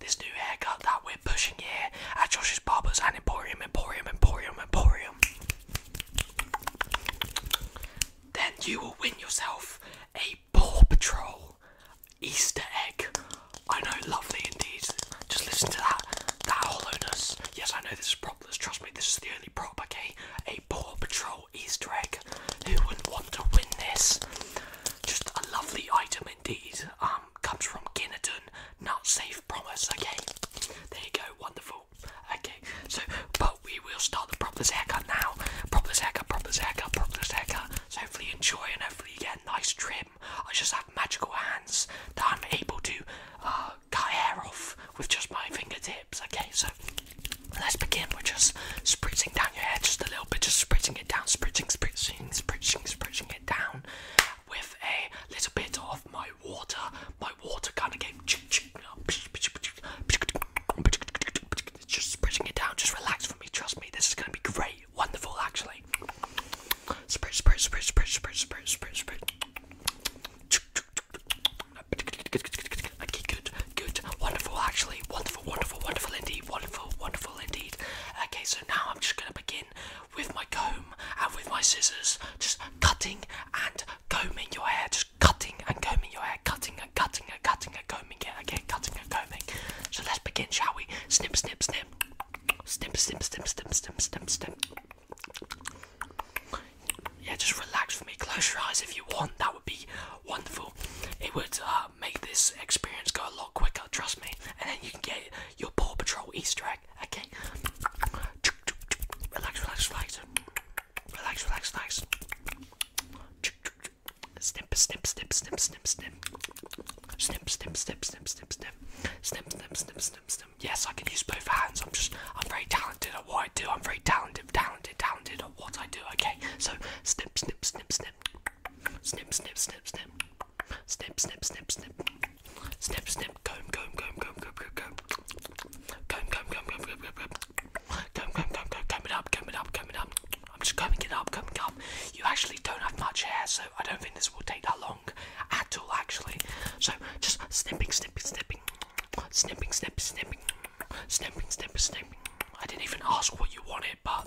this new haircut that we're pushing here at Josh's Barbers and Emporium, Emporium, Emporium, Emporium, then you will win yourself a Paw Patrol Easter egg. I know, lovely indeed. Just listen to that, that hollowness. Yes, I know this is propless. Trust me, this is the only prop. Okay, a Paw Patrol Easter egg. Who wouldn't want to win this? Just a lovely item indeed. Um, comes from Ginnerton. Not safe promise, okay? There you go, wonderful. Okay, so, but we will start the proper haircut now. Proper haircut, proper haircut, proper haircut. So hopefully you enjoy and hopefully you get a nice trim. I just have magical hands that I'm able to uh, cut hair off with just my fingertips, okay? So, let's begin with just spritzing down your hair just a little bit, just spritzing it down, spritzing, spritzing, spritzing, spritzing it down with a little bit of my water. My water kind of came. Just spreading it down. Just relax for me. Trust me, this is going to be great. Wonderful, actually. Spritz, spritz, spritz, spritz, spritz, spritz, spritz, spritz. Good, good, wonderful, actually. Wonderful, wonderful, wonderful indeed. Wonderful, wonderful indeed. Okay, so now I'm just going to begin with my comb and with my scissors, just cutting and combing your hair, just cutting and combing your hair, cutting and cutting and cutting and combing it again, cutting and combing. So let's begin, shall we? Snip, snip, snip, snip, snip, snip, snip, snip, snip, snip. Yeah, just relax for me. Close your eyes if you want. That would be wonderful. It would uh, make this experience go a lot quicker. Trust me. And then you can get your Paw Patrol Easter egg. Okay. Relax, relax, relax. Relax, relax, relax. Snip, snip, snip, snip, snip, snip. Snip, snip, snip, snip, snip, snip. Snip, snip, snip, snip, snip. Yes, I can use both hands. I'm just, I'm very talented at what I do. I'm very talented, talented, talented at what I do. Okay. So, snip, snip, snip, snip. Snip, snip, snip, snip. Snip, snip, snip, snip. Snip, snip. Comb, comb, comb, comb, comb, comb, comb. Comb, comb, comb, comb, comb, comb, comb. Comb, comb, comb, comb, comb it up, comb it up, comb it up. I'm just combing it up, combing up. You actually don't have much hair, so I don't think this will take that long at all, actually. So just snipping, snipping, snipping. Snipping, snipping, snipping. Snipping, snipping, snipping. I didn't even ask what you wanted, but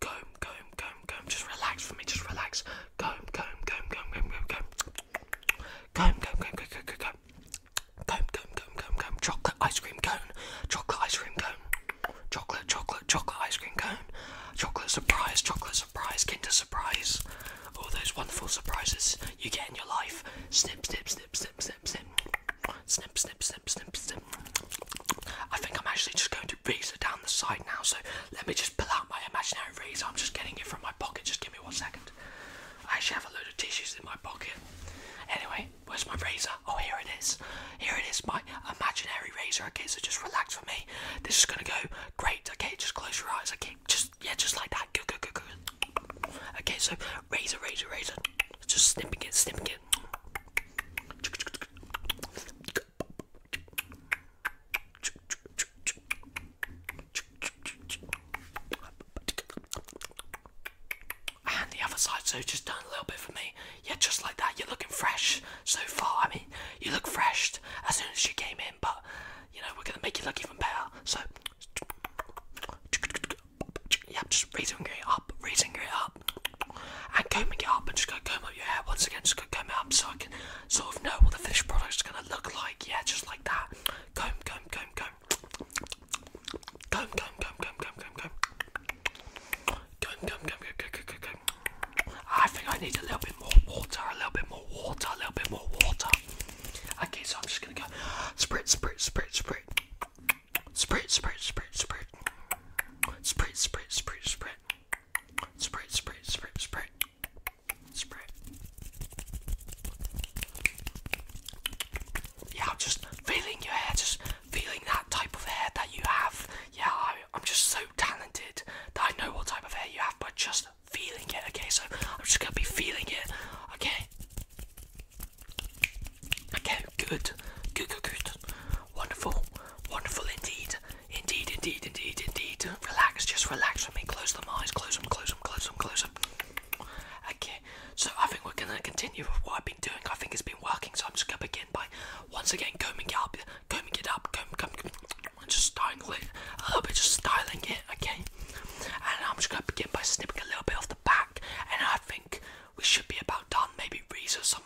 comb, comb, comb, comb. Just relax for me. Just relax. Comb, comb, comb, comb, comb, comb, comb. Comb, comb, comb, comb, comb, comb. Comb, comb, comb, comb, comb. Chocolate ice cream cone. Chocolate ice cream cone. Chocolate, chocolate, chocolate ice cream cone. Chocolate surprise. Chocolate surprise. Kinder surprise. All those wonderful surprises you get in your life. Snip, snip, snip, snip, snip, snip. Snip, snip, snip, snip, snip. I think I'm actually just going razor down the side now, so let me just pull out my imaginary razor. I'm just getting it from my pocket. Just give me one second. I actually have a load of tissues in my pocket. Anyway, where's my razor? Oh, here it is. Here it is, my imaginary razor. Okay, so just relax for me. This is gonna go great. Okay, just close your eyes. Okay, just yeah, just like that. Good, good, good, good. Okay, so razor, razor, razor. Just snipping it, snipping it. And the other side, so just done a little bit for me. Yeah, just like that. You're looking fresh so far. I mean, you look fresh as soon as you came in, but you know, we're gonna make you look even better. So, yeah, just raising it up, raising it up and combing it up and just gonna comb up your hair once again, just gonna comb it up so I can sort of know what the finished product is gonna look like, yeah, just like that. Comb, comb, comb, comb. Comb, comb, comb, comb, comb, comb, comb. Comb, I think I need a little bit more water, a little bit more water, a little bit more water. Okay, so I'm just gonna go sprit, sprit, sprit, sprit. Sprit, sprit, sprit, sprit. Sprit, sprit, sprit, sprit. Spray, spray, spray, spray. Spray. Yeah, just feeling your hair, just feeling that type of hair that you have. Yeah, I, I'm just so talented that I know what type of hair you have, but just feeling it, okay? So I'm just gonna be feeling it, okay? Okay, good, good, good, good. Wonderful, wonderful indeed. Indeed, indeed, indeed, indeed. Relax, just relax with me. Close them eyes, close them, close them, close them, close them. Okay, so I think we're gonna continue with what I've been doing. I think it's been working, so I'm just gonna begin by once again combing it up, combing it up, comb, comb, just styling it a little bit, just styling it, okay? And I'm just gonna begin by snipping a little bit off the back, and I think we should be about done. Maybe or so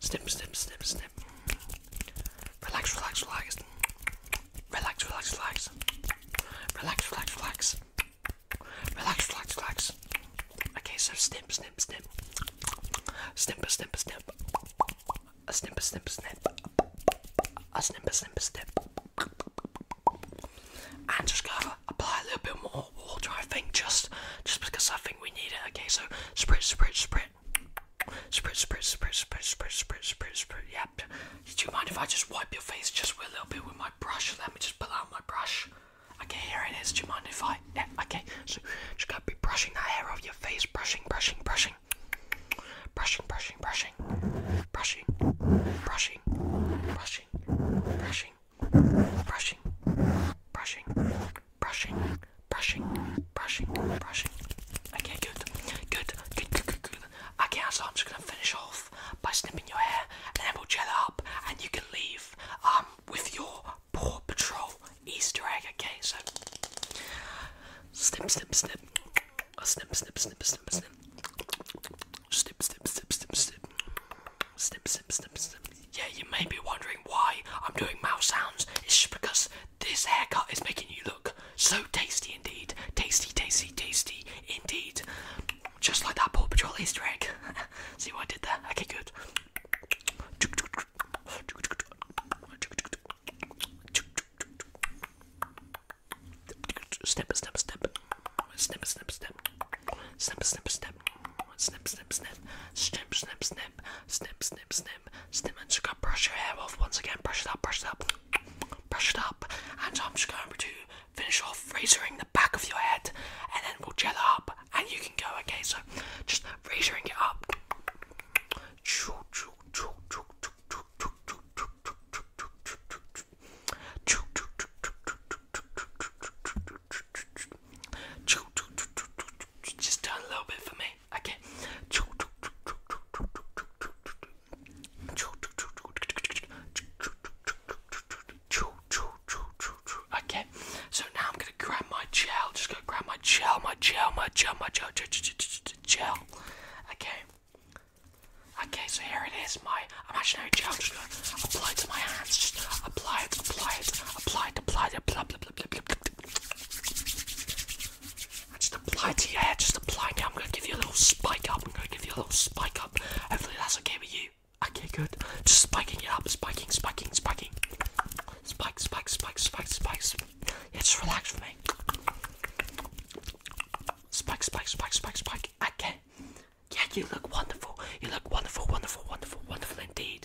snip, snip, snip, snip. Relax, relax, relax. Relax, relax, relax. Relax, relax, relax. Relax, relax, relax. Okay, so snip, snip, snip. Snip, snip, snip. A snip, snip, snip. A snip, snip, snip. And just gonna apply a little bit more water, I think, just just because I think we need it. Okay, so spritz, spritz, spritz. Spritz, spritz, spritz, spritz, spritz, spritz, spritz, spritz. Yep. Do you mind if I just wipe your face just with a little bit with my brush? Let me just pull out my brush. Okay, here it is. Do you mind if I? Yeah. Okay. So just gotta be brushing that hair off your face. Brushing, brushing, brushing. Brushing, brushing, brushing. Brushing, brushing, brushing, brushing, brushing, brushing brushing, brushing, brushing, brushing. Okay, good, good, good, good, good, Okay, so I'm just gonna finish off by snipping your hair, and then we'll gel up, and you can leave um with your Paw Patrol Easter egg. Okay, so snip, snip, snip, snip, snip, snip, snip, snip, snip, snip, snip, snip, snip, snip, snip, snip, snip, yeah, you may be wondering why I'm doing mouse sounds. It's just because this haircut is making you look so tasty indeed. Tasty, tasty, tasty indeed. Just like that Paw Patrol Easter egg. See what I did there? Okay, good. Snip, snip, snip. Snip, snip, snip. Snip, snip, snip. Snip, snip, snip. Snip, snip, snip snip, snip, snip, snip, snip, and just gonna brush your hair off once again. Brush it up, brush it up, brush it up, and I'm just going to finish off razoring the back of your head, and then we'll gel it up, and you can go. Okay, so just razoring it up. Just turn a little bit for me. Okay. Okay. So now I'm gonna grab my gel. Just gonna grab my gel, my gel, my gel, my gel, gel, gel. Okay. Okay, so here it is, my imaginary gel. Just gonna apply it to my hands. Just apply it, apply it, apply it, apply it, blah blah blah blah blah just apply to your hair, just apply now. I'm gonna give you a little spike up. I'm gonna give you a little spike up. Hopefully that's okay with you. Okay, good. Just spiking it up, spiking, spiking, spiking. Spike, spike, spike, spike, spikes. Yeah, just relax for me. Spike, spike, spike, spike, spike. Okay. Yeah, you look wonderful. You look wonderful, wonderful, wonderful, wonderful indeed.